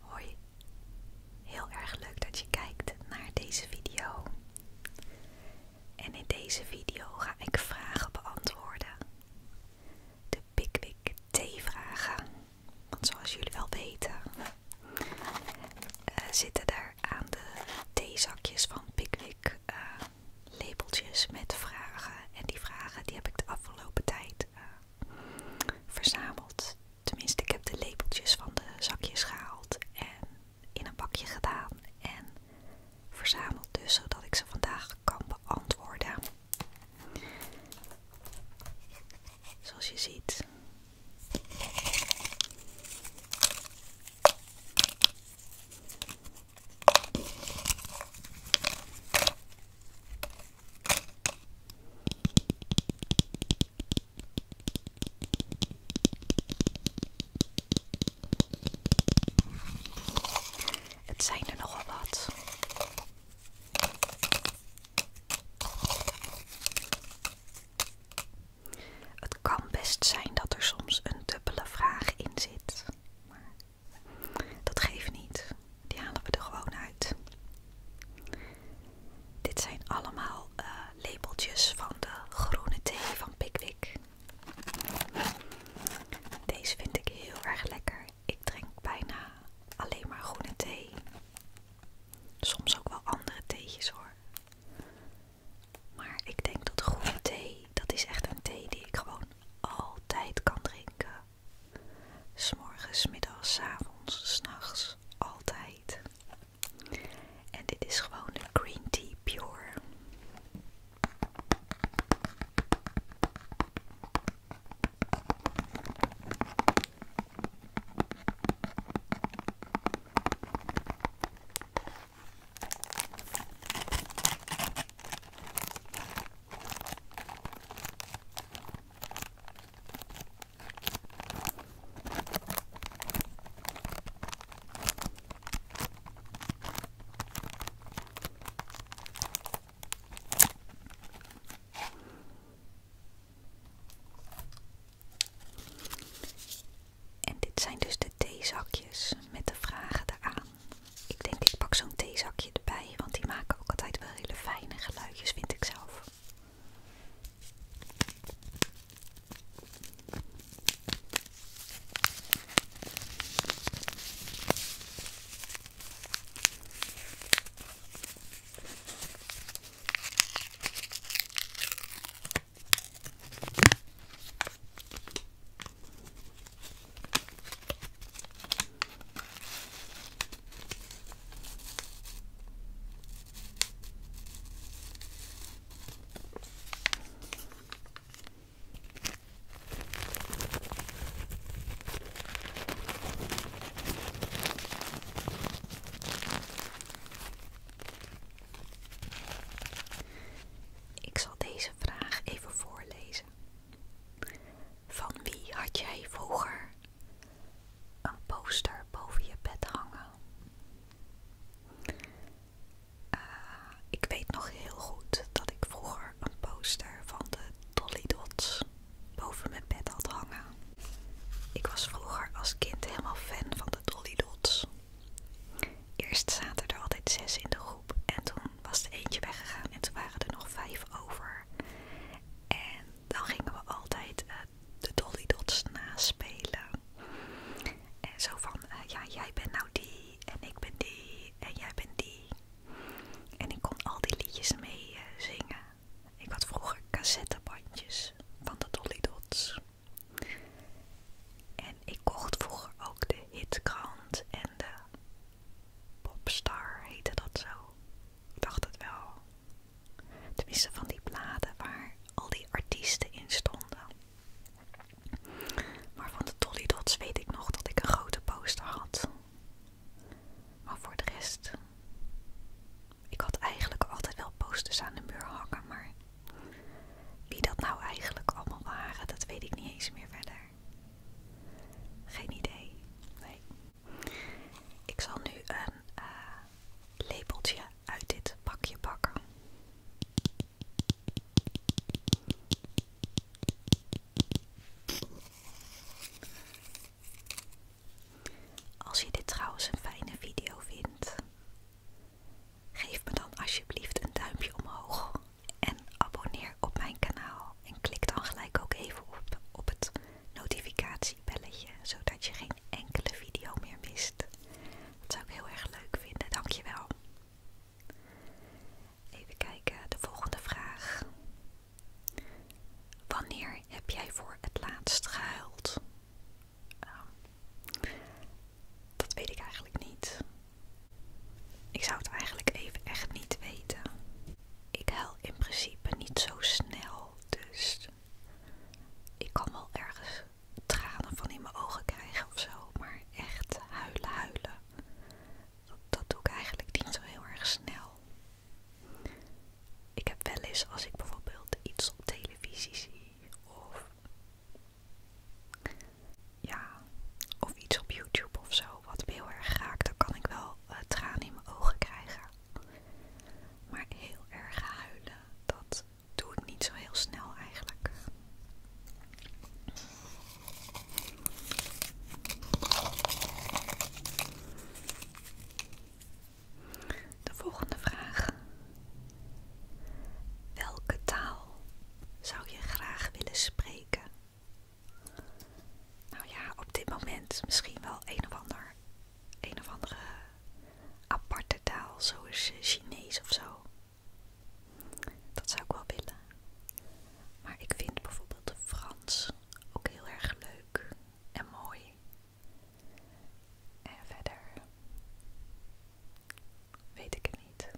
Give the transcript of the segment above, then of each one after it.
Hoi, heel erg leuk dat je kijkt naar deze video. En in deze video ga ik vragen beantwoorden. De Pickwick T-vragen. Want zoals jullie wel weten, eh, zitten daar aan de theezakjes van Pickwick eh, labeltjes met vragen. En die vragen die heb ik de afgelopen tijd eh, verzameld. Tenminste, ik heb de lepeltjes van de zakjes gehaald en in een bakje gedaan en verzameld dus, zodat ik ze vandaag kan beantwoorden. Zoals je ziet. Het zijn er nogal wat. Het kan best zijn dat er soms een dubbele vraag in zit, maar dat geeft niet. Die halen we er gewoon uit. Dit zijn allemaal eh, labeltjes van de groene thee van Pickwick. Deze vind ik heel erg lekker. Ik drink bijna alleen maar groene thee. Soms ook wel andere theetjes hoor. Maar ik denk dat groene thee, dat is echt een thee die ik gewoon altijd kan drinken. S'morgens, middags, s avonds, s'nachts, altijd. En dit is gewoon de Green Tea Pure. En dit zijn dus de theezakjes met de vragen eraan. Ik denk ik pak zo'n theezakje haakje want die maken ook altijd wel hele fijne geluidjes, vind ik zelf. Ik zal deze vraag even voorlezen. Van wie had jij vroeger een poster boven je bed hangen? Eh, ik weet nog heel goed dat ik vroeger een poster van de Dolly Dots boven mijn bed had hangen. Ik was vroeger als kind helemaal fan van de Dolly Dots. Eerst zaten er altijd zes in de groep en toen was er eentje weggegaan en toen waren er nog vijf over. En dan gingen we altijd eh, de Dolly Dots naspelen. En zo van, eh, ja, jij bent nou die en ik ben die en jij bent die. En ik kon al die liedjes mee eh, zingen. Ik had vroeger cassettebandjes van de Dolly Dots. En ik kocht vroeger ook de hitkrant en de Popstar heette dat zo. Ik dacht het wel. Tenminste van die bladen waar al die artiesten in stonden. Maar van de Dolly Dots weet ik nog dat ik een grote poster had. Maar voor de rest... Ik had eigenlijk altijd wel posters aan de muur hangen, maar wie dat nou eigenlijk allemaal waren, dat weet ik niet eens meer verder geen idee. Nee. Ik zal nu een eh, lepeltje uit dit pakje pakken. Als je dit trouwens een fijne video vindt, geef me dan alsjeblieft een duimpje omhoog en abonneer op mijn kanaal. En klik dan gelijk ook even op, het notificatiebelletje, zodat je geen enkele video meer mist. Dat zou ik heel erg leuk vinden, dankjewel. Even kijken, de volgende vraag. Wanneer heb jij voor het laatst gehuild? Ehm, dat weet ik eigenlijk niet. Ik zou het eigenlijk even echt niet weten. Ik huil in principe niet zo snel, dus ik kan wel ergens tranen van in mijn ogen krijgen of zo, maar echt huilen, huilen. Dat, dat doe ik eigenlijk niet zo heel erg snel. Ik heb wel eens als ik bijvoorbeeld iets op televisie zie of ja, of iets op YouTube of zo, wat me heel erg raakt, dan kan ik wel eh, tranen in mijn ogen krijgen. Maar heel erg huilen, dat doe ik niet zo heel snel eigenlijk. De volgende vraag. Welke taal zou je graag willen spreken nou ja, op dit moment misschien wel een of, ander, een of andere aparte taal, zoals eh, Chinees of zo. Dat zou ik wel willen. Maar ik vind bijvoorbeeld Frans ook heel erg leuk en mooi. En verder weet ik het niet.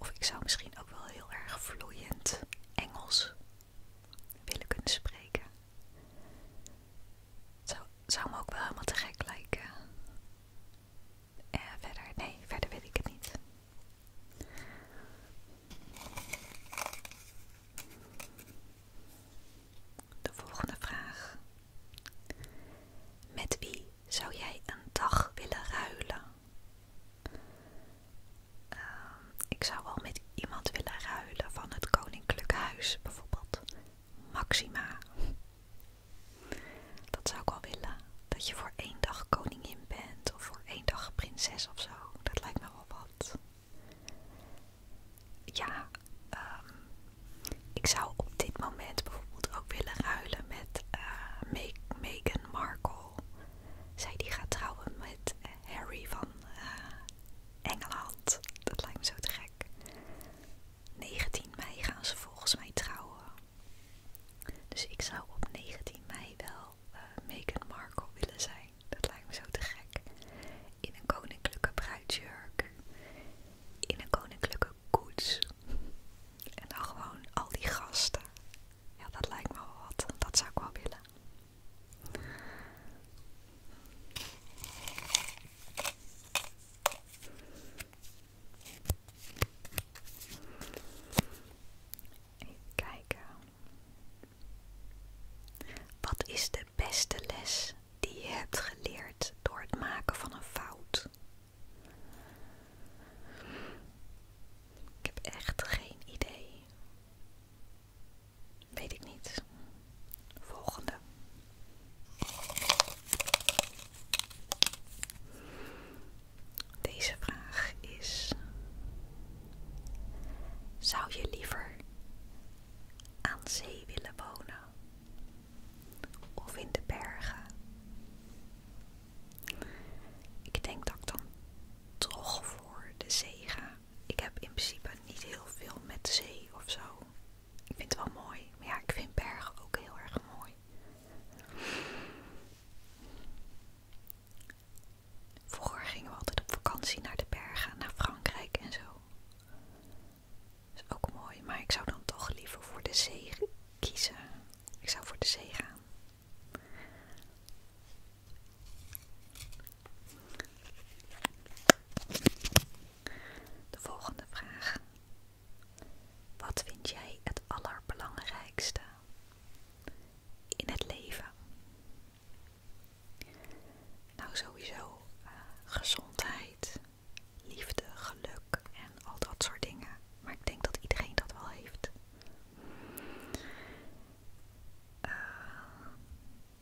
Of ik zou misschien ook wel heel erg vloeiend Engels willen kunnen spreken. zou, me ook wel helemaal te gek lijken. Eh, verder, nee, verder weet ik het niet. De volgende vraag. Met wie zou jij een dag willen ruilen? Ehm, ik zou wel met iemand willen ruilen van het Koninklijk Huis, bijvoorbeeld Maxima. Dat zou ik wel willen. Dat je voor één dag koningin bent of voor één dag prinses of zo. Dat lijkt me wel wat. Ja, ehm, ik zou op dit moment bijvoorbeeld ook willen ruilen met eh, Meghan Markle zij die gaat trouwen met eh, Harry van eh, Engeland. Dat lijkt me zo te gek. 19 mei gaan ze volgens mij trouwen. Dus ik zou op 19 mei wel uh, Meghan Markle willen zijn. Dat lijkt me zo te gek. In een koninklijke bruidsjurk. In een koninklijke koets. En dan gewoon al die gasten. Ja, dat lijkt me wel wat. Dat zou ik wel willen. kijken. Wat is de beste les die je hebt geleerd door het maken van een fout? Ik heb echt geen idee. Weet ik niet. Volgende. Deze vraag is: Zou je liever aan zee willen wonen of in de bergen? Ik denk dat ik dan toch voor de zee ga. Ik heb in principe niet heel veel met zee of zo. Ik vind het wel mooi. Maar ja, ik vind bergen ook heel erg mooi. Vroeger gingen we altijd op vakantie naar de bergen, naar Frankrijk en zo. Dat is ook mooi, maar ik zou dan toch liever voor de zee kiezen. Ik zou voor de zee gaan. De volgende vraag. Wat vind jij het allerbelangrijkste in het leven? Nou, sowieso eh, gezondheid, liefde, geluk en al dat soort dingen. Maar ik denk dat iedereen dat wel heeft. Eh,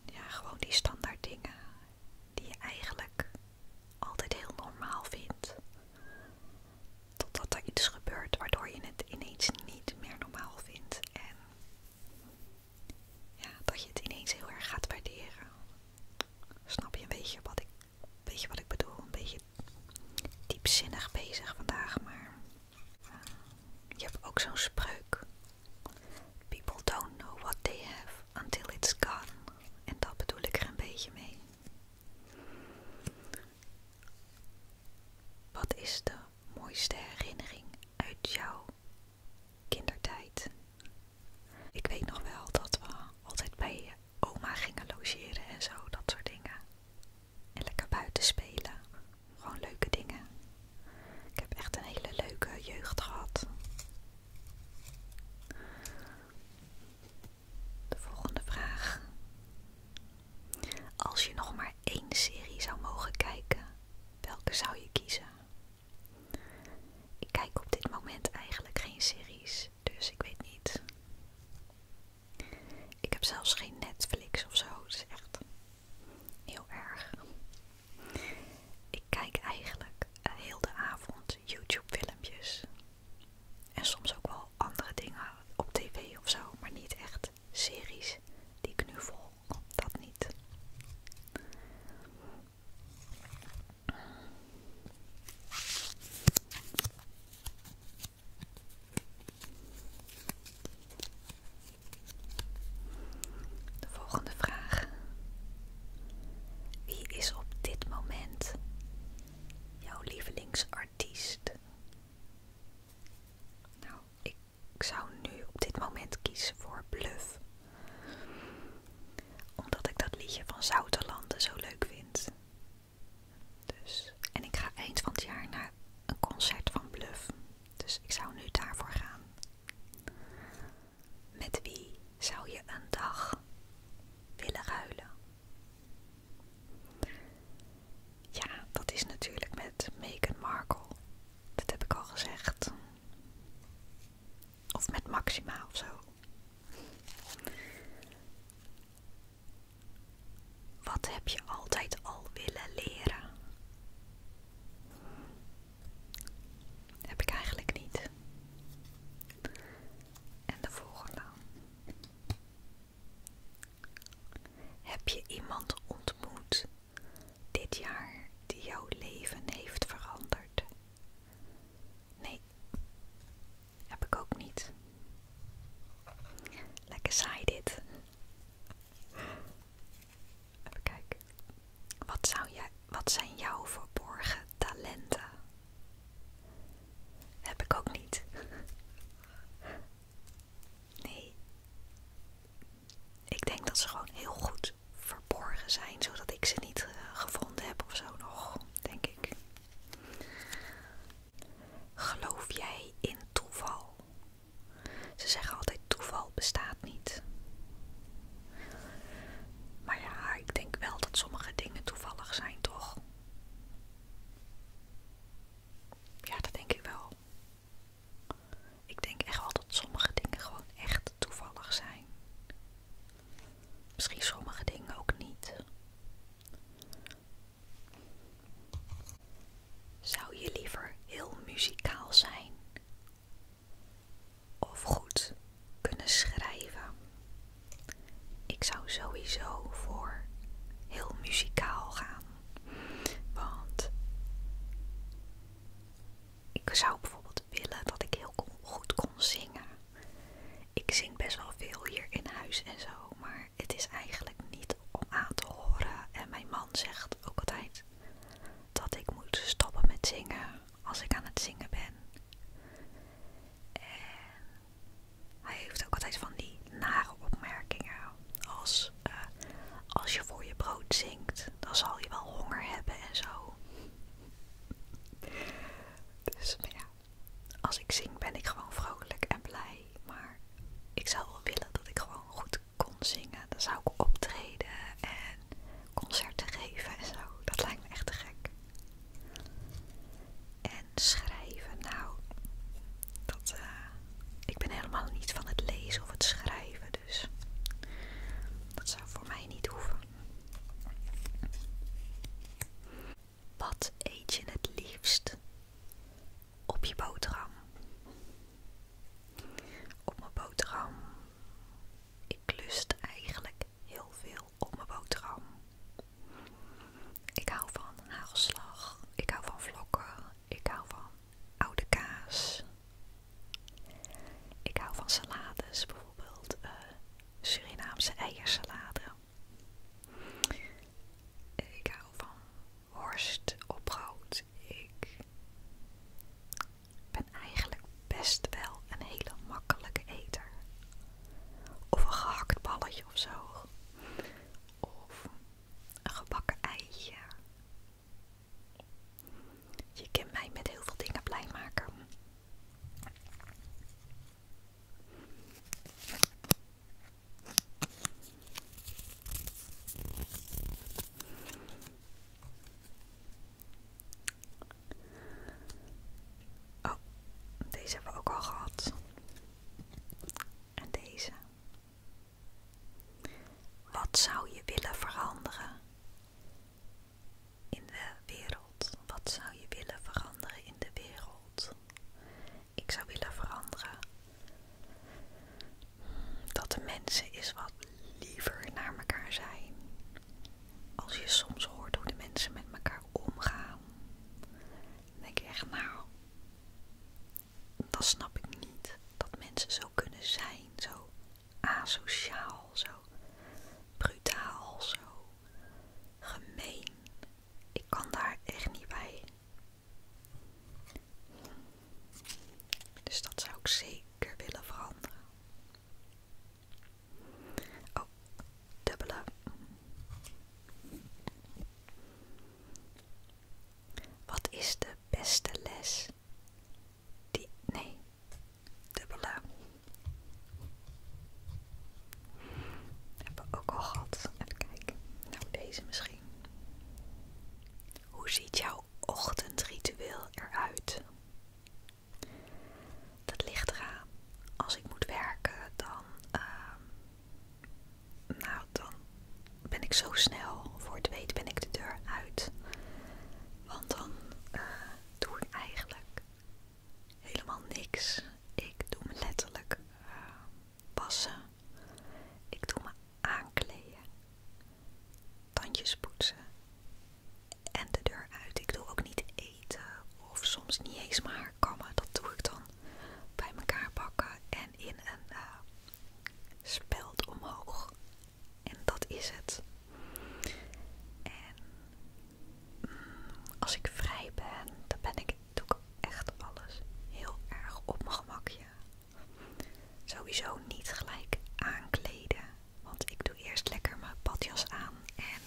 ja, gewoon die standaard dingen die je eigenlijk altijd heel normaal vindt. Totdat er iets gebeurt waardoor je het ineens niet meer normaal vindt. En ja, dat je het ineens heel erg gaat waarderen. Snap je een beetje wat ik, weet je wat ik bedoel? Een beetje diepzinnig bezig vandaag, maar eh, je hebt ook zo'n spreuk. People don't know what they have until it's gone. En dat bedoel ik er een beetje mee. Wat is de mooiste herinnering uit jouw kindertijd? Ik weet nog wel dat we altijd bij oma gingen logeren en zo, dat soort dingen. En lekker buiten spelen. Gewoon leuke dingen. Ik heb echt een hele leuke jeugd gehad. De volgende vraag. Als je nog maar één serie zou mogen kijken, welke zou je kiezen? Ik kijk op dit moment eigenlijk geen series, dus ik weet niet. Ik heb zelfs geen Netflix of zo. Het is echt heel erg. Ik kijk eigenlijk eh, heel de avond YouTube filmpjes. En soms ook wel andere dingen op tv of zo, maar niet echt series die ik nu vol. Dat niet. De volgende vraag. Wie is op dit moment jouw lievelingsartiest? Nou, ik zou nu op dit moment kiezen voor Bluff. Omdat ik dat liedje van Zouterlanden zo leuk vind. Dus, en ik ga eind van het jaar naar een concert van Bluff. Dus ik zou nu daarvoor gaan. Met wie zou je een dag willen ruilen? Ja, dat is natuurlijk met Meghan Markle. Dat heb ik al gezegd. Of met Maxima of zo. Wat heb je altijd al willen leren? Heb ik eigenlijk niet. En de volgende. Heb je iemand ontmoet dit jaar die jouw leven heeft veranderd? Nee, heb ik ook niet. Lekker saai dit. Even kijken. Wat, zijn jouw verborgen talenten? Heb ik ook niet. Nee. Ik denk dat ze gewoon heel goed verborgen zijn, zodat ik ze niet eh, gevonden heb of zo nog, denk ik. Geloof jij in toeval? Ze zeggen altijd toeval bestaat niet. Maar ja, ik denk wel dat sommige dingen toevallig zijn, toch? Ja, dat denk ik wel. Ik denk echt wel dat sommige dingen gewoon echt toevallig zijn. Misschien sommige dingen ook niet. Zou je liever heel muzikaal zijn of goed kunnen schrijven? Ik zou sowieso voor heel muzikaal gaan. Want ik zou bijvoorbeeld willen dat ik heel goed kon zingen. Ik zing best wel veel hier in huis en zo, maar het is eigenlijk niet om aan te horen. En mijn man zegt ook altijd dat ik moet stoppen met zingen als ik aan het zingen ben. En hij heeft ook altijd van die nare opmerkingen als eh, als je voor je brood zingt, dan zal je wel honger hebben en zo. Dus ja, als ik zing ben ik gewoon vrolijk en blij. Maar ik zou wel willen dat ik gewoon goed kon zingen. Dan zou ik optreden en concerten geven en zo. Dat lijkt me echt gek. En schrijven, nou, dat, eh, ik ben helemaal niet van het lezen of het schrijven, dus dat zou voor mij niet hoeven. Wat eet je het liefst? Op je boterham. Op mijn boterham. Ik lust eigenlijk heel veel op mijn boterham. Ik hou van hagelslag. Ik hou van vlokken. Ik hou van oude kaas. Ik hou van salades, bijvoorbeeld eh, Surinaamse eiersalade. Ik hou van worst op brood. Ik ben eigenlijk best wel een hele makkelijke eter. Of een gehakt balletje of zo. Of een gebakken eitje. Je kan mij met heel veel dingen blij maken. Oh, deze hebben we ook al gehad. En deze. Wat zou je willen veranderen in de wereld? Wat zou je willen veranderen in de wereld? Ik zou willen veranderen dat de mensen eens wat liever naar elkaar zijn. Als je soms hoort hoe de mensen met elkaar omgaan, dan denk echt, nou, dat snap ik niet dat mensen zo kunnen zijn, zo asociaal, zo brutaal, zo gemeen. Ik kan daar echt niet bij. Dus dat zou ik zeker willen veranderen. Oh, dubbele. Wat is de beste les die. Nee, dubbele. Hebben we ook al gehad. Even kijken. Nou, deze misschien. Hoe ziet jouw ochtendritueel eruit? Dat ligt eraan. Als ik moet werken, dan. Ehm, nou, dan ben ik zo snel. Voor het weet ben ik de deur uit. Want dan eh, doe ik eigenlijk helemaal niks. Ik doe me letterlijk eh, wassen. Ik doe me aankleden. Tandjes poetsen. En de deur uit. Ik doe ook niet eten. Of soms niet eens maar haar kammen. Dat doe ik dan bij elkaar pakken En in een eh, speld omhoog. En dat is het. En als ik vrij ben, dan ben ik, ook echt alles heel erg op mijn gemakje. Sowieso niet gelijk aankleden. Want ik doe eerst lekker mijn badjas aan. En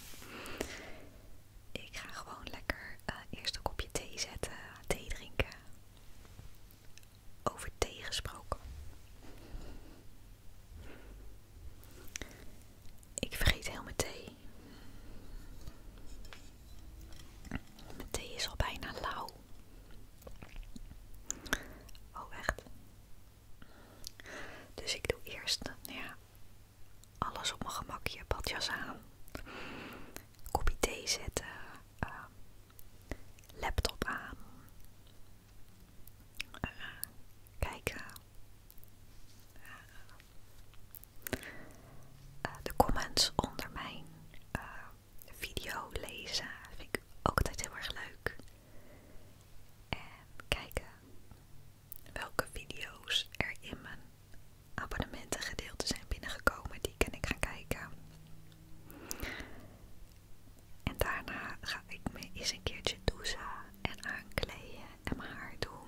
ik ga gewoon lekker eh, eerst een kopje thee zetten. Thee drinken. Over thee gesproken. Ik vergeet heel mijn thee. Mijn thee is al bijna lauw. Oh, echt. Dus ik doe eerst nou ja, alles op mijn gemakje. padjas aan. Kopje thee zetten. Ehm, laptop aan. Eh, kijken. Ja. Eh, eh, de comments onder mijn eh, video lezen vind ik ook altijd heel erg leuk. En kijken welke video's er in mijn abonnementengedeelte zijn binnengekomen. Die kan ik gaan kijken. En daarna ga ik me eens een keertje douzen en aankleden en mijn haar doen.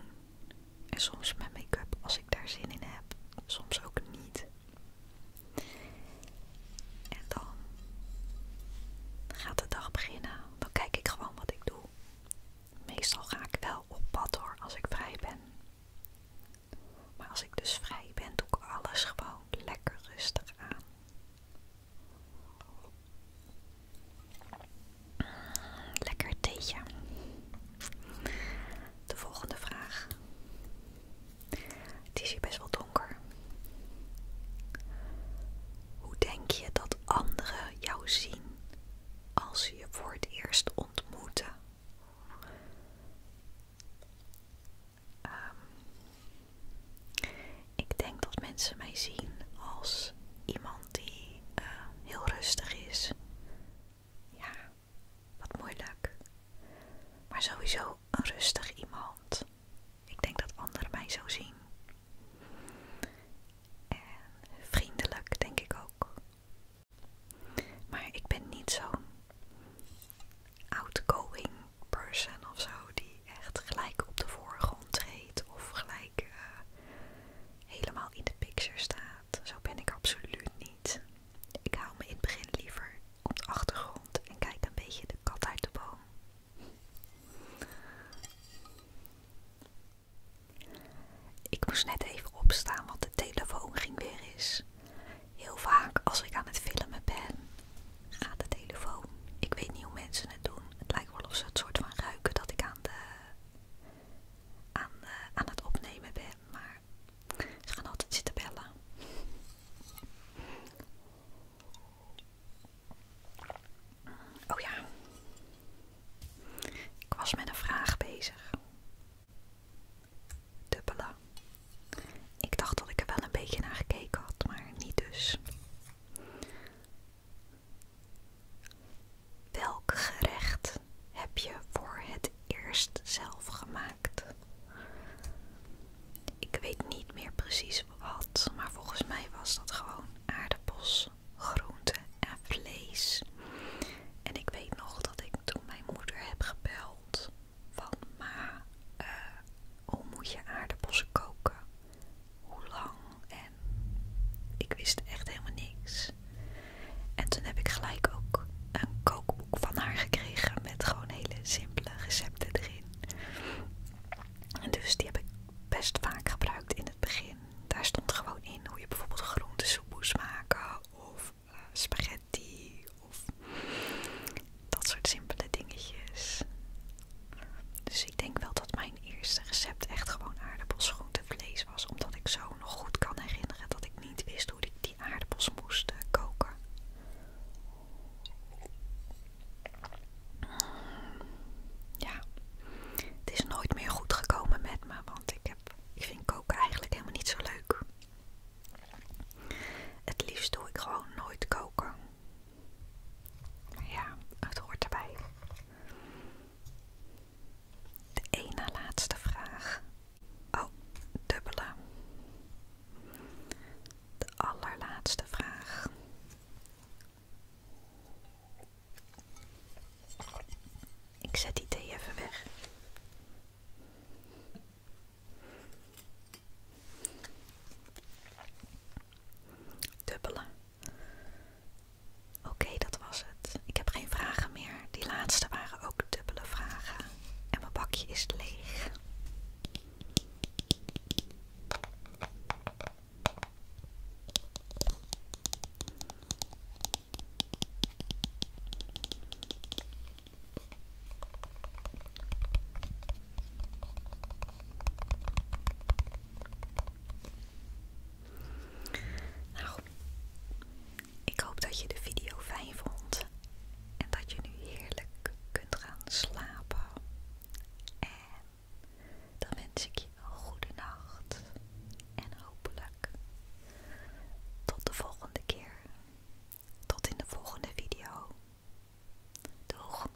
En soms met make-up als ik daar zin in heb, soms ook niet. En dan gaat de dag beginnen. Dan kijk ik gewoon wat ik doe. Meestal ga ik wel op pad hoor, als ik vrij ben. Maar als ik dus vrij ben, doe ik alles gewoon lekker rustig aan. Lekker theetje. De volgende vraag. Het is hier best wel donker. Hoe denk je dat anderen jou zien als ze je voor het eerst ontmoeten? Ehm, ik denk dat mensen mij zien als iemand die eh, heel rustig is. Ja, wat moeilijk. Maar sowieso een rustig iemand. Ik denk dat anderen mij zo zien. En vriendelijk, denk ik ook. Maar ik ben niet zo'n outgoing person of zo, die echt gelijk op de voorgrond treedt of gelijk eh, helemaal in de picture staat. Zo ben ik absoluut niet. Ik hou me in het begin liever op de achtergrond en kijk een beetje de kat uit de boom. Ik moest net even opstaan, want de telefoon ging weer eens. Heel vaak als ik aan het filmen ben, gaat de telefoon. Ik weet niet hoe mensen het doen. Het lijkt wel of ze het soort van ruiken dat ik aan de eh, aan, het opnemen ben, maar ze gaan altijd zitten bellen. Oh ja, ik was met een vraag bezig. Dubbelen. Ik dacht dat ik er wel een beetje naar gekeken had, maar niet dus. Welk gerecht heb je voor het eerst zelf gemaakt? Ik weet niet meer precies wat, maar volgens mij was dat gewoon aardappels, groenten en vlees. En ik weet nog dat ik toen mijn moeder heb gebeld van ma, eh, hoe moet je aardappels koken? hoe lang en ik wist echt helemaal niks. En toen heb ik gelijk ook een kookboek van haar gekregen met gewoon hele simpele recepten erin. En dus die heb ik best vaak gebruikt in het begin. Daar stond gewoon in hoe je bijvoorbeeld groentesoep moest maken of eh, spaghetti of dat soort simpele dingetjes. Dus ik denk wel dat mijn eerste recept echt gewoon aardappels, vlees was. Omdat ik zo nog goed kan herinneren dat ik niet wist hoe ik die aardappels moest eh, koken. Ja, het is nooit meer goed gekomen met me, want ik, heb, ik vind koken eigenlijk helemaal niet zo leuk. Het liefst doe ik gewoon nooit koken. ja, het hoort erbij. De één na laatste vraag. Oh, dubbele. De allerlaatste vraag. Ik zet die thee even weg. Dubbele. Oké, dat was het. Ik heb geen vragen meer. Die laatste waren ook dubbele vragen. En mijn bakje is leeg. Nou, ik hoop dat je de video fijn vond en dat je nu heerlijk kunt gaan slapen. En dan wens ik je goede nacht en hopelijk tot de volgende keer. Tot in de volgende video. Doeg!